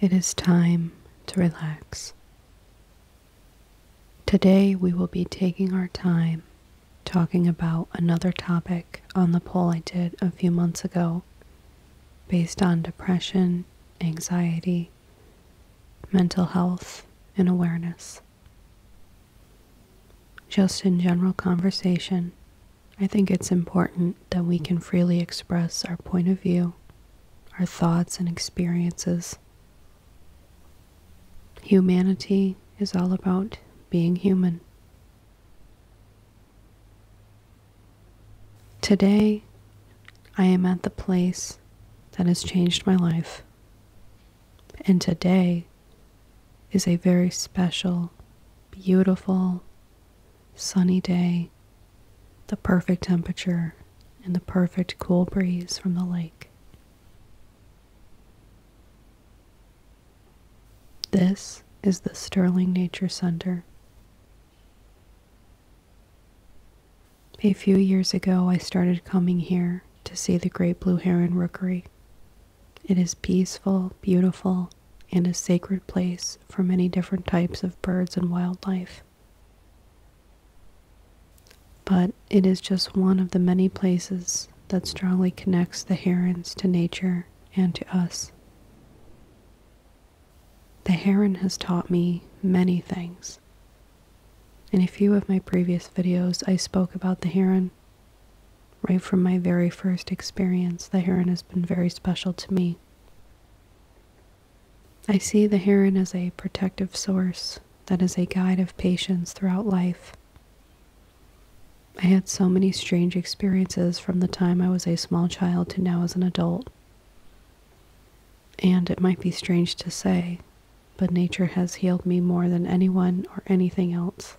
It is time to relax. Today, we will be taking our time talking about another topic on the poll I did a few months ago based on depression, anxiety, mental health, and awareness. Just in general conversation, I think it's important that we can freely express our point of view our thoughts and experiences. Humanity is all about being human. Today, I am at the place that has changed my life. And today is a very special, beautiful, sunny day the perfect temperature, and the perfect cool breeze from the lake. This is the Sterling Nature Center. A few years ago, I started coming here to see the great blue heron rookery. It is peaceful, beautiful, and a sacred place for many different types of birds and wildlife. But it is just one of the many places that strongly connects the herons to nature and to us. The heron has taught me many things. In a few of my previous videos, I spoke about the heron. Right from my very first experience, the heron has been very special to me. I see the heron as a protective source that is a guide of patience throughout life. I had so many strange experiences from the time I was a small child to now as an adult. And it might be strange to say, but nature has healed me more than anyone or anything else.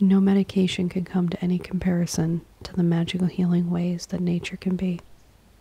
No medication can come to any comparison to the magical healing ways that nature can be.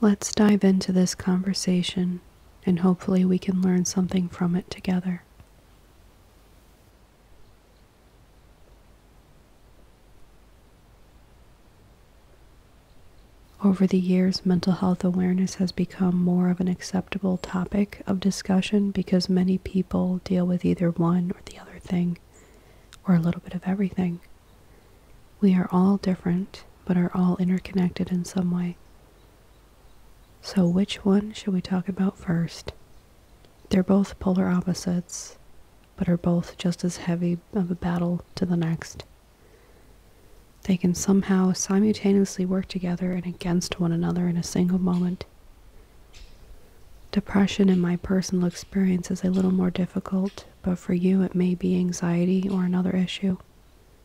Let's dive into this conversation and hopefully we can learn something from it together. Over the years, mental health awareness has become more of an acceptable topic of discussion because many people deal with either one or the other thing, or a little bit of everything. We are all different, but are all interconnected in some way. So, which one should we talk about first? They're both polar opposites, but are both just as heavy of a battle to the next. They can somehow simultaneously work together and against one another in a single moment. Depression, in my personal experience, is a little more difficult, but for you it may be anxiety or another issue.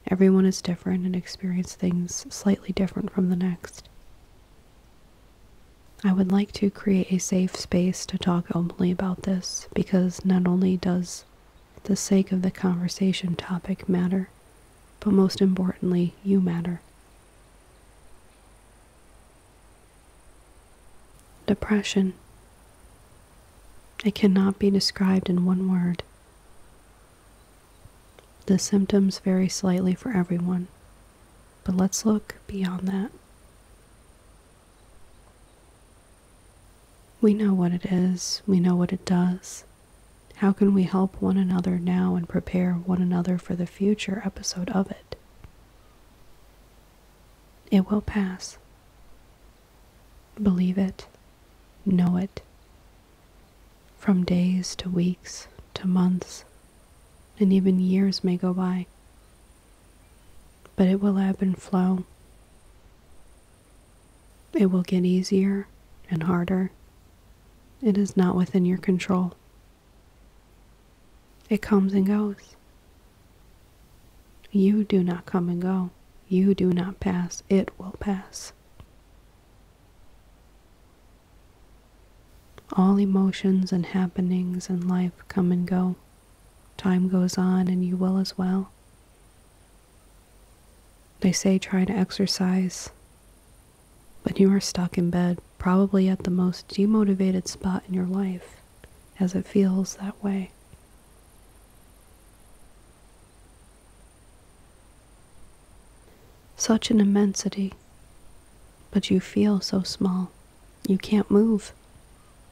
Everyone is different and experiences things slightly different from the next. I would like to create a safe space to talk openly about this because not only does the sake of the conversation topic matter, but most importantly, you matter. Depression. It cannot be described in one word. The symptoms vary slightly for everyone, but let's look beyond that. We know what it is, we know what it does. How can we help one another now and prepare one another for the future episode of it? It will pass. Believe it, know it, from days to weeks to months, and even years may go by, but it will ebb and flow. It will get easier and harder. It is not within your control. It comes and goes. You do not come and go. You do not pass. It will pass. All emotions and happenings in life come and go. Time goes on, and you will as well. They say try to exercise, but you are stuck in bed, probably at the most demotivated spot in your life, as it feels that way. Such an immensity, but you feel so small. You can't move.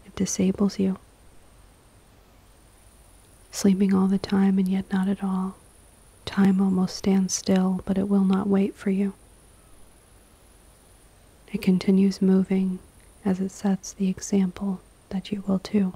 It disables you. Sleeping all the time and yet not at all. Time almost stands still, but it will not wait for you. It continues moving as it sets the example that you will too.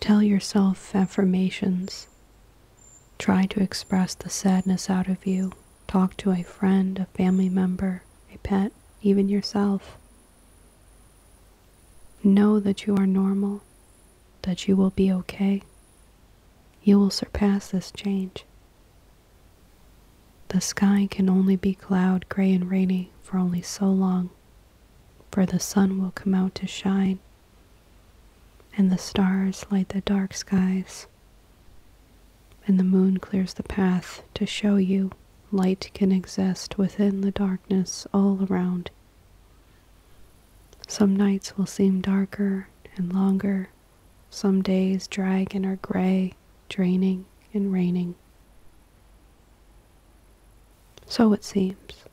Tell yourself affirmations. Try to express the sadness out of you. Talk to a friend, a family member, a pet, even yourself. Know that you are normal, that you will be okay. You will surpass this change. The sky can only be cloud, gray, and rainy for only so long, for the sun will come out to shine and the stars light the dark skies, and the moon clears the path to show you light can exist within the darkness all around. Some nights will seem darker and longer, some days drag and are gray, draining and raining. So it seems.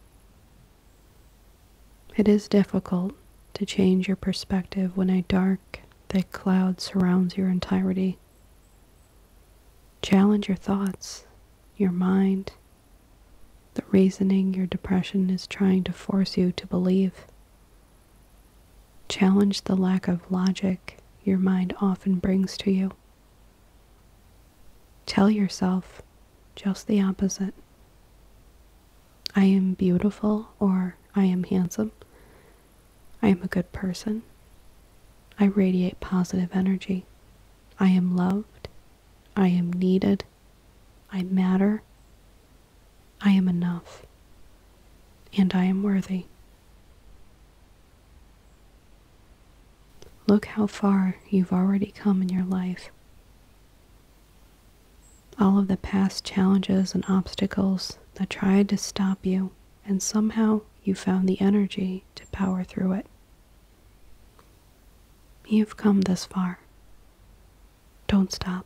It is difficult to change your perspective when a dark, thick cloud surrounds your entirety. Challenge your thoughts, your mind, the reasoning your depression is trying to force you to believe. Challenge the lack of logic your mind often brings to you. Tell yourself just the opposite. I am beautiful or I am handsome. I am a good person. I radiate positive energy. I am loved. I am needed. I matter. I am enough. And I am worthy. Look how far you've already come in your life all of the past challenges and obstacles that tried to stop you, and somehow you found the energy to power through it. You've come this far. Don't stop.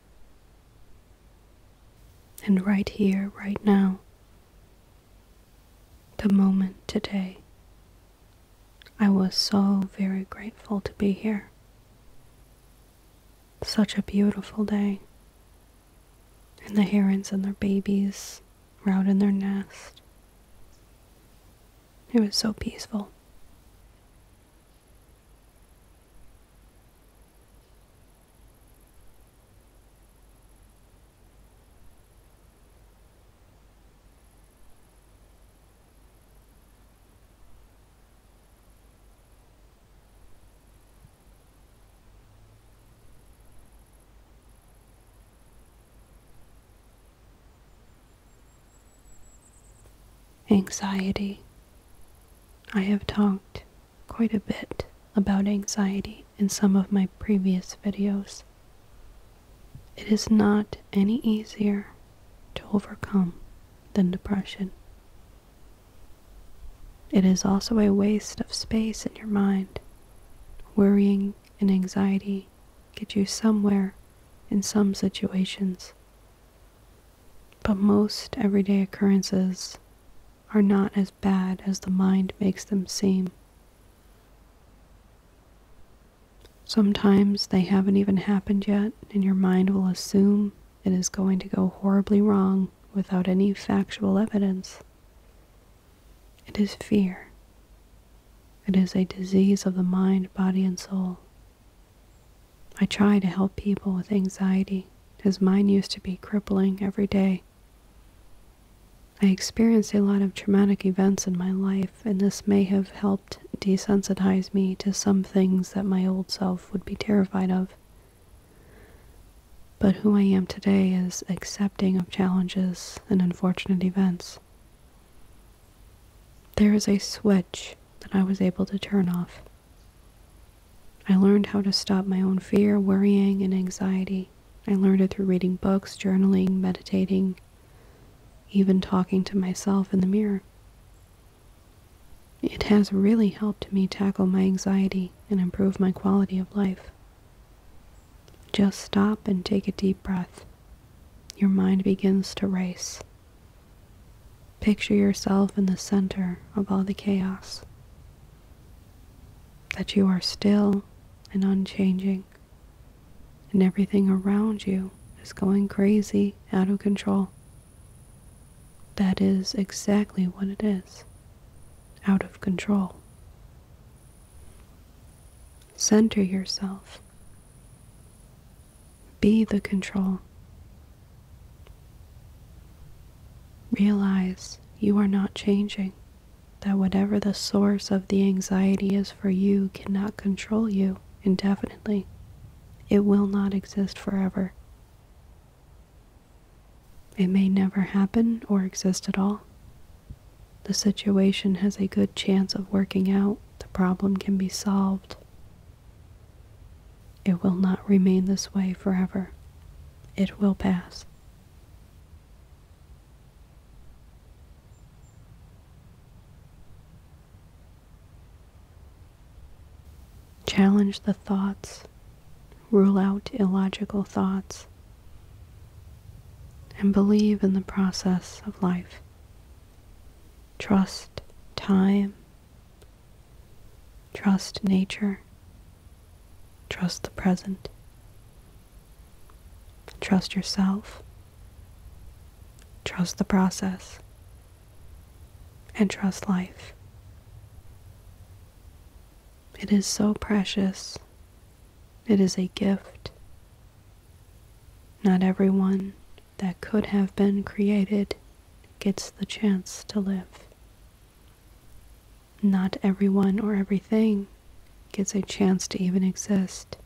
And right here, right now, the moment today, I was so very grateful to be here. Such a beautiful day. And the herons and their babies were out in their nest. It was so peaceful. Anxiety. I have talked quite a bit about anxiety in some of my previous videos. It is not any easier to overcome than depression. It is also a waste of space in your mind. Worrying and anxiety get you somewhere in some situations. But most everyday occurrences are not as bad as the mind makes them seem. Sometimes they haven't even happened yet, and your mind will assume it is going to go horribly wrong without any factual evidence. It is fear. It is a disease of the mind, body, and soul. I try to help people with anxiety, as mine used to be crippling every day. I experienced a lot of traumatic events in my life, and this may have helped desensitize me to some things that my old self would be terrified of. But who I am today is accepting of challenges and unfortunate events. There is a switch that I was able to turn off. I learned how to stop my own fear, worrying, and anxiety. I learned it through reading books, journaling, meditating, even talking to myself in the mirror. It has really helped me tackle my anxiety and improve my quality of life. Just stop and take a deep breath. Your mind begins to race. Picture yourself in the center of all the chaos, that you are still and unchanging, and everything around you is going crazy, out of control. That is exactly what it is out of control. Center yourself. Be the control. Realize you are not changing, that whatever the source of the anxiety is for you cannot control you indefinitely. It will not exist forever. It may never happen or exist at all. The situation has a good chance of working out. The problem can be solved. It will not remain this way forever. It will pass. Challenge the thoughts, rule out illogical thoughts, and believe in the process of life. Trust time, trust nature. Trust the present. Trust yourself. Trust the process. And trust life. It is so precious. It is a gift. Not everyone that could have been created gets the chance to live. Not everyone or everything gets a chance to even exist.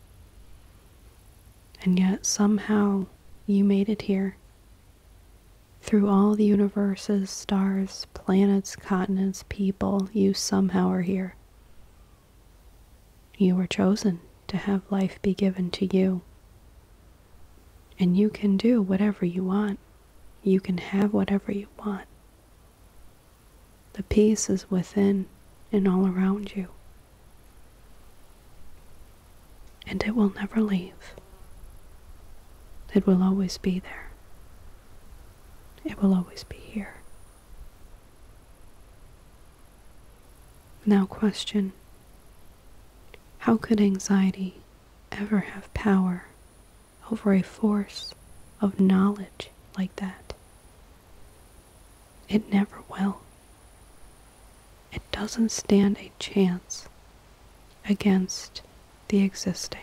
And yet, somehow, you made it here. Through all the universes, stars, planets, continents, people, you somehow are here. You were chosen to have life be given to you. And you can do whatever you want. You can have whatever you want. The peace is within and all around you. And it will never leave. It will always be there. It will always be here. Now, question How could anxiety ever have power over a force of knowledge like that. It never will. It doesn't stand a chance against the existing.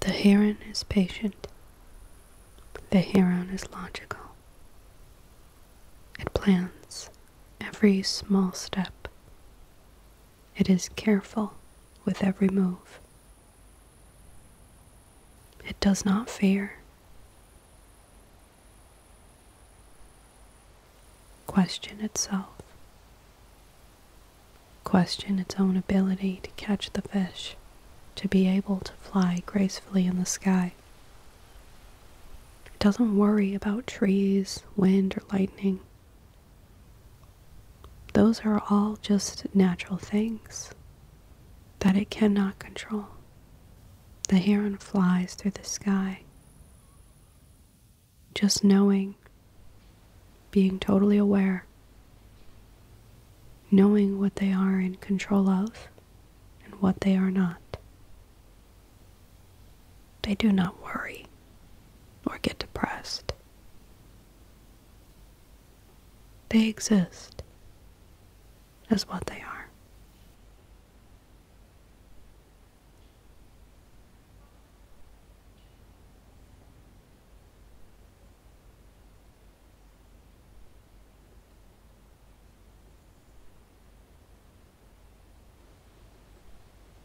The heron is patient. The heron is logical. It plans every small step it is careful with every move. It does not fear. Question itself. Question its own ability to catch the fish, to be able to fly gracefully in the sky. It doesn't worry about trees, wind, or lightning. Those are all just natural things that it cannot control. The heron flies through the sky. Just knowing, being totally aware, knowing what they are in control of and what they are not they do not worry or get depressed. They exist as what they are.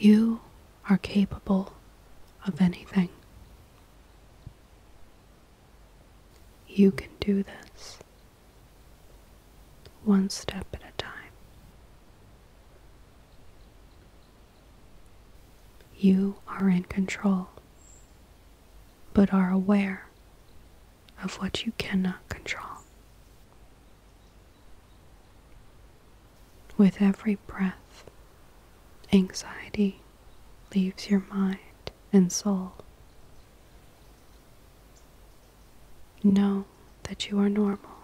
You are capable of anything. You can do this one step at a time. You are in control, but are aware of what you cannot control. With every breath, anxiety leaves your mind and soul. Know that you are normal,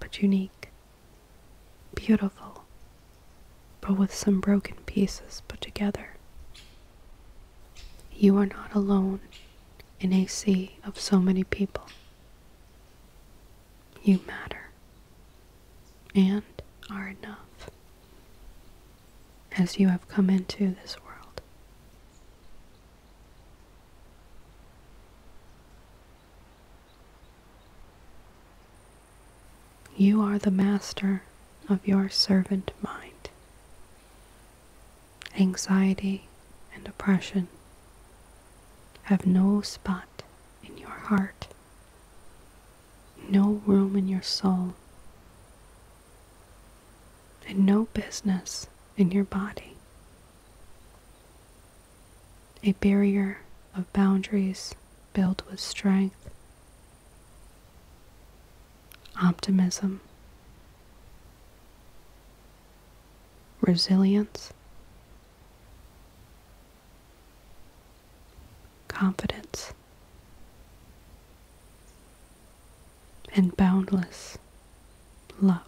but unique, beautiful, but with some broken pieces put together. You are not alone in a sea of so many people. You matter and are enough as you have come into this world. You are the master of your servant mind. Anxiety and oppression have no spot in your heart no room in your soul, and no business in your body. A barrier of boundaries built with strength, optimism, resilience, confidence and boundless love.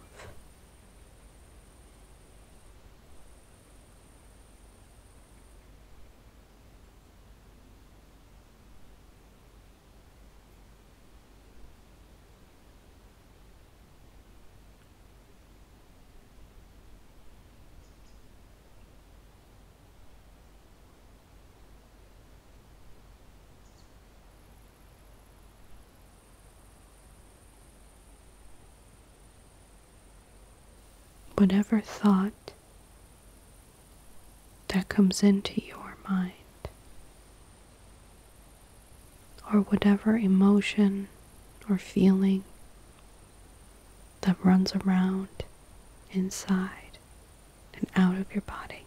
Whatever thought that comes into your mind, or whatever emotion or feeling that runs around inside and out of your body.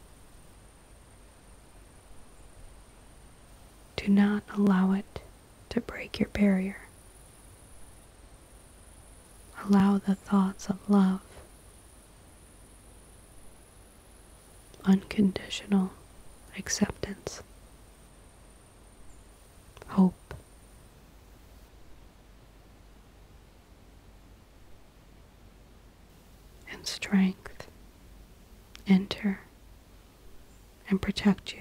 Do not allow it to break your barrier. Allow the thoughts of love, unconditional acceptance, hope, and strength enter and protect you.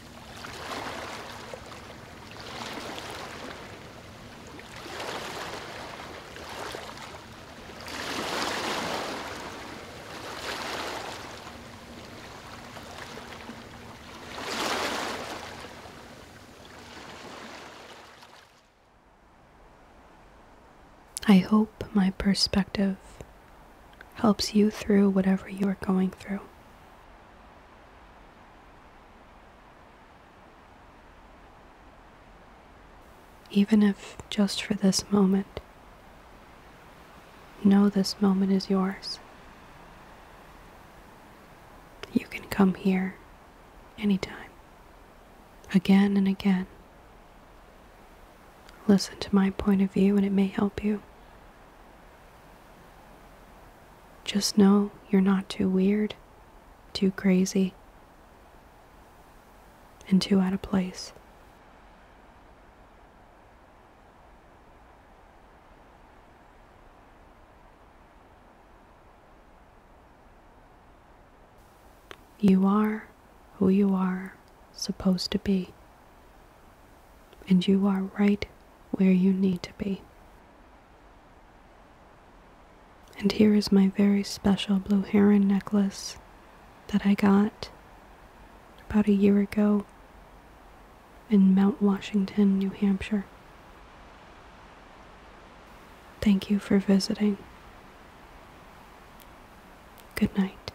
I hope my perspective helps you through whatever you are going through. Even if just for this moment, know this moment is yours. You can come here anytime, again and again. Listen to my point of view, and it may help you. Just know you're not too weird, too crazy, and too out of place. You are who you are supposed to be, and you are right where you need to be. And here is my very special blue heron necklace that I got about a year ago in Mount Washington, New Hampshire. Thank you for visiting. Good night.